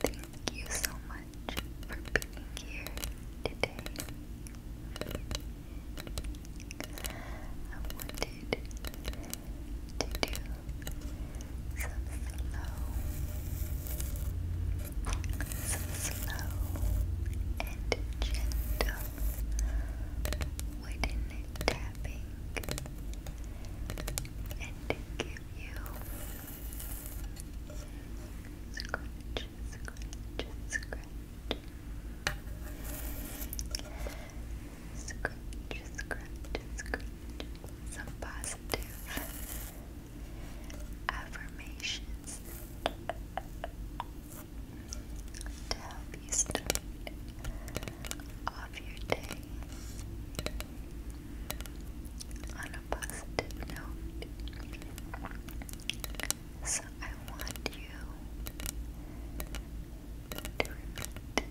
Thank you so much for being here today. I wanted to do some slow, some slow and gentle wooden tapping and give you scratch, scratch, scratch. Scratch, scratch, scratch. Some positive positive affirmations to help you start off your day on a positive note. So I want you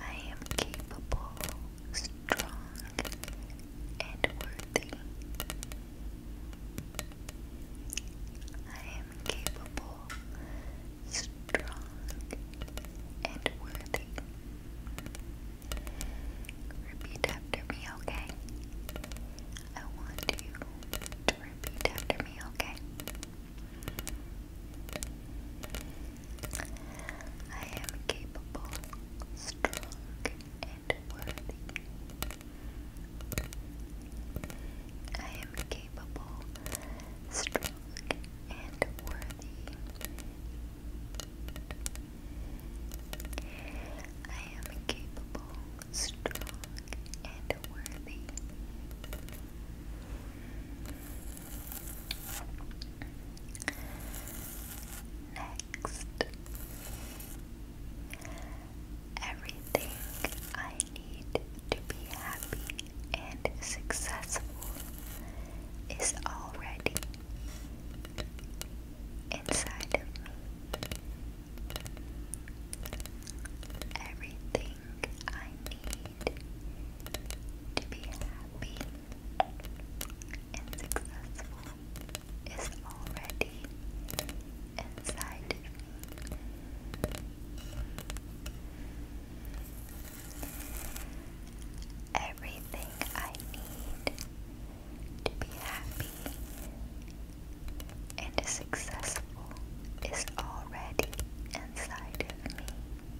I am capable, strong, and worthy. I am capable, strong, and worthy. Repeat after me, okay? I want to repeat after me, okay? I am capable, strong, and worthy. I am capable, strong, and worthy. I am capable, strong, and worthy. Next, everything I need to be happy and successful is already inside of me. Everything I to be happy and successful is already inside Everything I need to be happy and successful is already inside of me.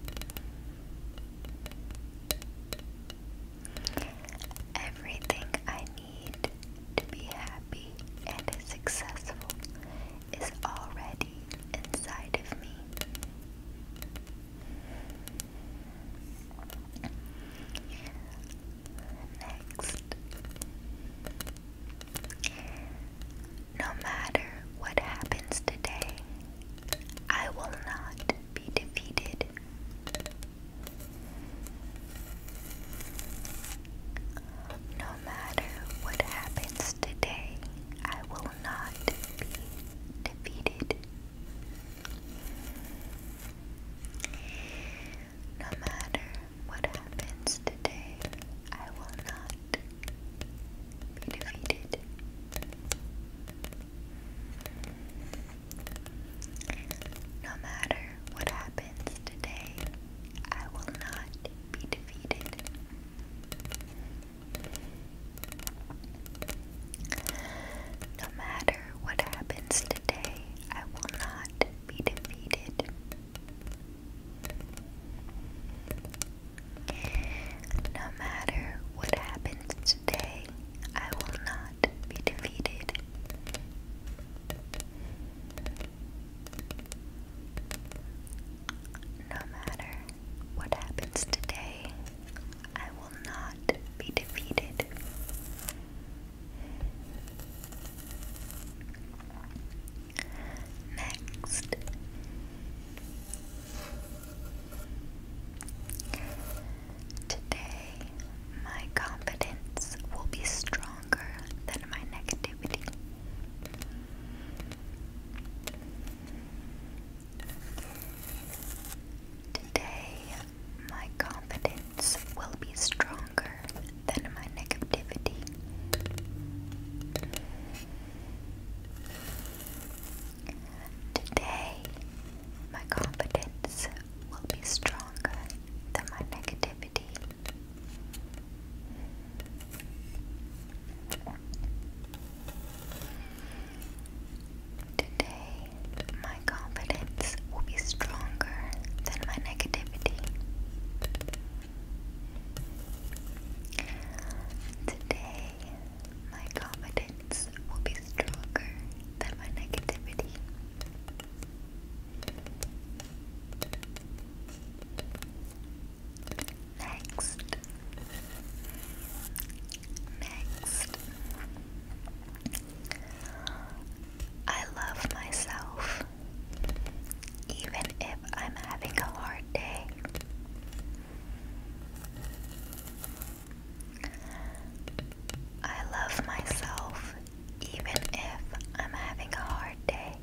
Everything I need to be happy and successful is already inside of me. Next, no matter what happens today, I will not be defeated. No matter what happens today, I will not be defeated. No matter what happens today, I will not be defeated. No matter what happens today, I will not be defeated. No matter what happens today, I will not be defeated. No matter what happens today, I will not be defeated. No matter what happens today, I will not be defeated. Next, today my confidence will be stronger than my negativity. Today, my confidence will be stronger than my negativity. Today, my confidence will be stronger than my negativity. Today, my confidence will be stronger than my negativity. Today, my confidence will be stronger than my negativity. Next, next, I love myself even if I'm having a hard day. I love myself even if I'm having a hard day.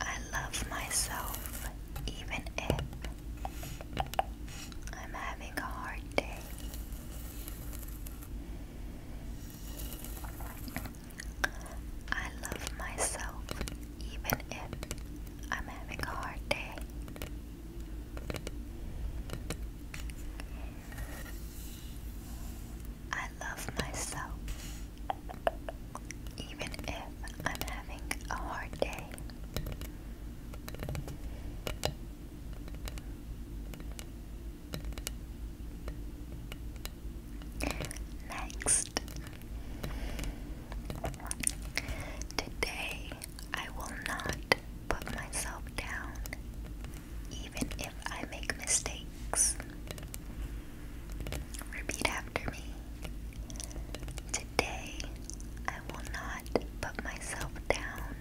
I love myself even if I'm having a hard day. I love myself even if I'm having a hard day. I love myself even if I'm having a hard day. Next, today I will not put myself down, even if I make mistakes. Repeat after me. Today, I will not put myself down,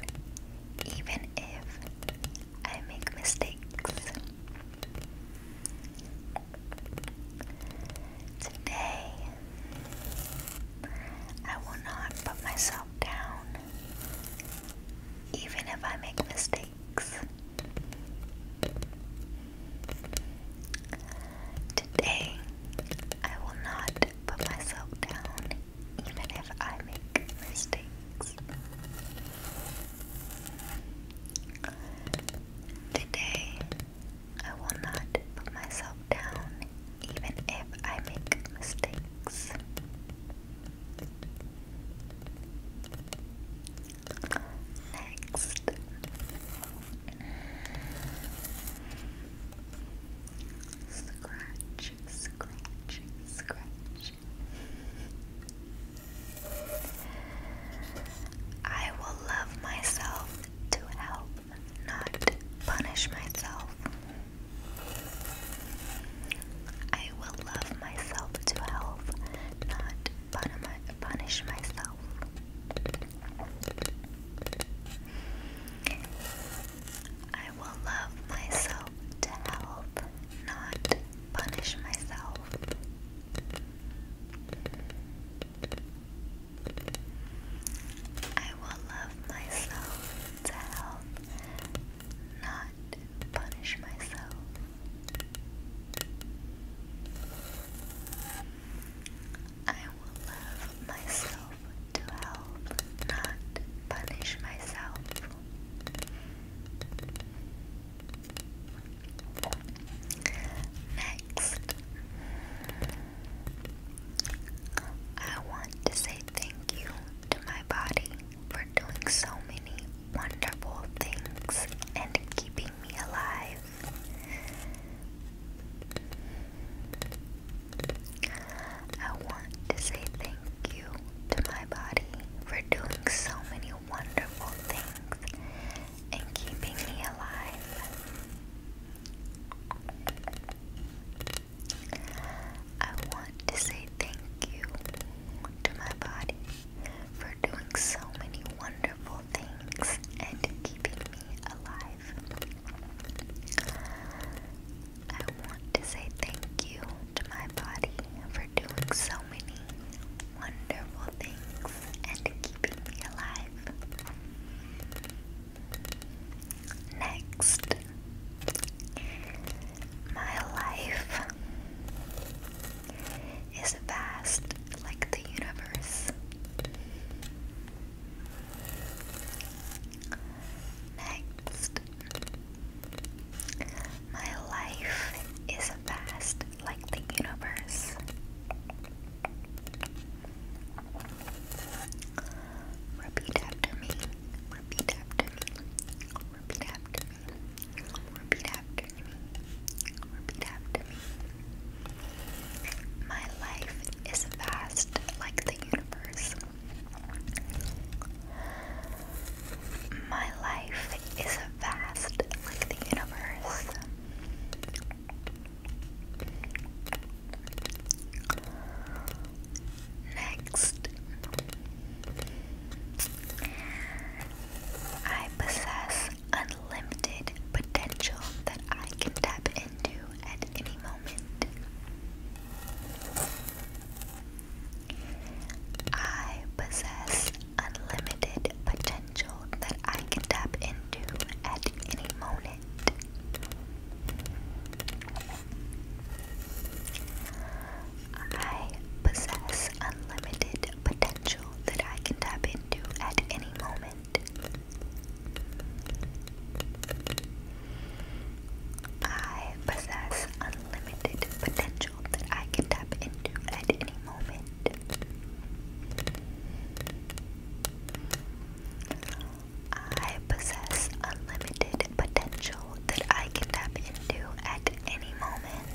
even if I make mistakes. Today, I will not put myself down, even if I make mistakes. Today, I will not put myself down, even if I make mistakes. Today, I will not put myself down even if I make mistakes. Next, Scratch, scratch, scratch. I will love myself to help, not punish myself. I will love myself to help, not punish myself. I will love myself to help, not punish myself. I will love myself to help, not punish myself. I will love myself to help, not punish myself. Next, I want to say thank you to my body for doing so many wonderful things and keeping me alive. I want to say thank you to my body for doing so many wonderful things and keeping me alive. I want to say thank you to my body for doing so many wonderful things and keeping me alive. I want to say thank you to my body for doing so many wonderful things and keeping me alive. Next, my life is vast like the universe. Next, my life is vast like the universe. Repeat after me. Repeat after me. Repeat after me. Repeat after me. Repeat after me. My life is vast like the universe. My life is vast like the universe. Next, I possess unlimited potential that I can tap into at any moment. I possess unlimited potential that I can tap into at any moment. I possess unlimited potential that I can tap into at any moment. I possess unlimited potential that I can tap into at any moment. I possess unlimited potential that I can tap into at any moment.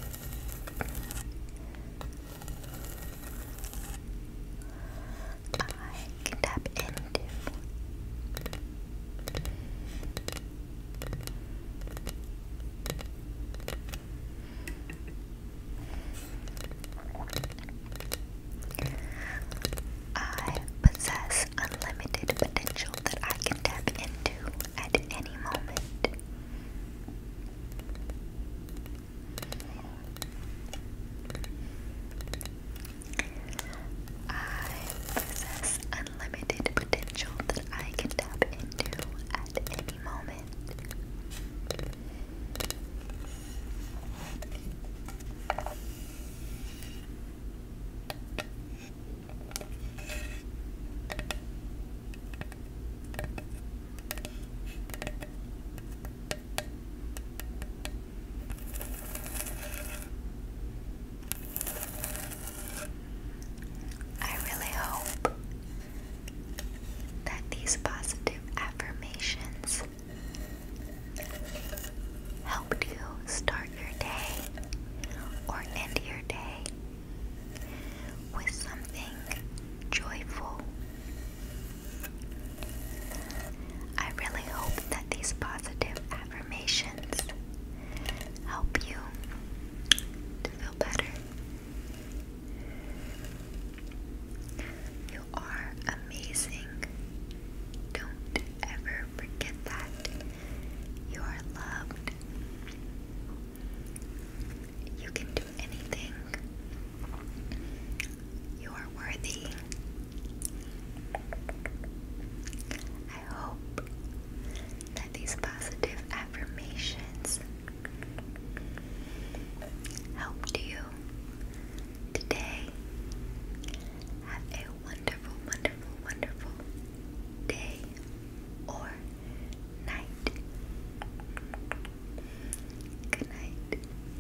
I can tap into. I possess unlimited potential that I can tap into at any moment. I possess unlimited potential that I can tap into at any moment. I really hope that these positive affirmations helped you start your day or end your day with something joyful I really hope that these positive affirmations help you to feel better. You are amazing. Don't ever forget that. You are loved. You can do anything. You are worthy. I hope that these positive affirmations helped you today. Have a wonderful, wonderful, wonderful day or night. Good night.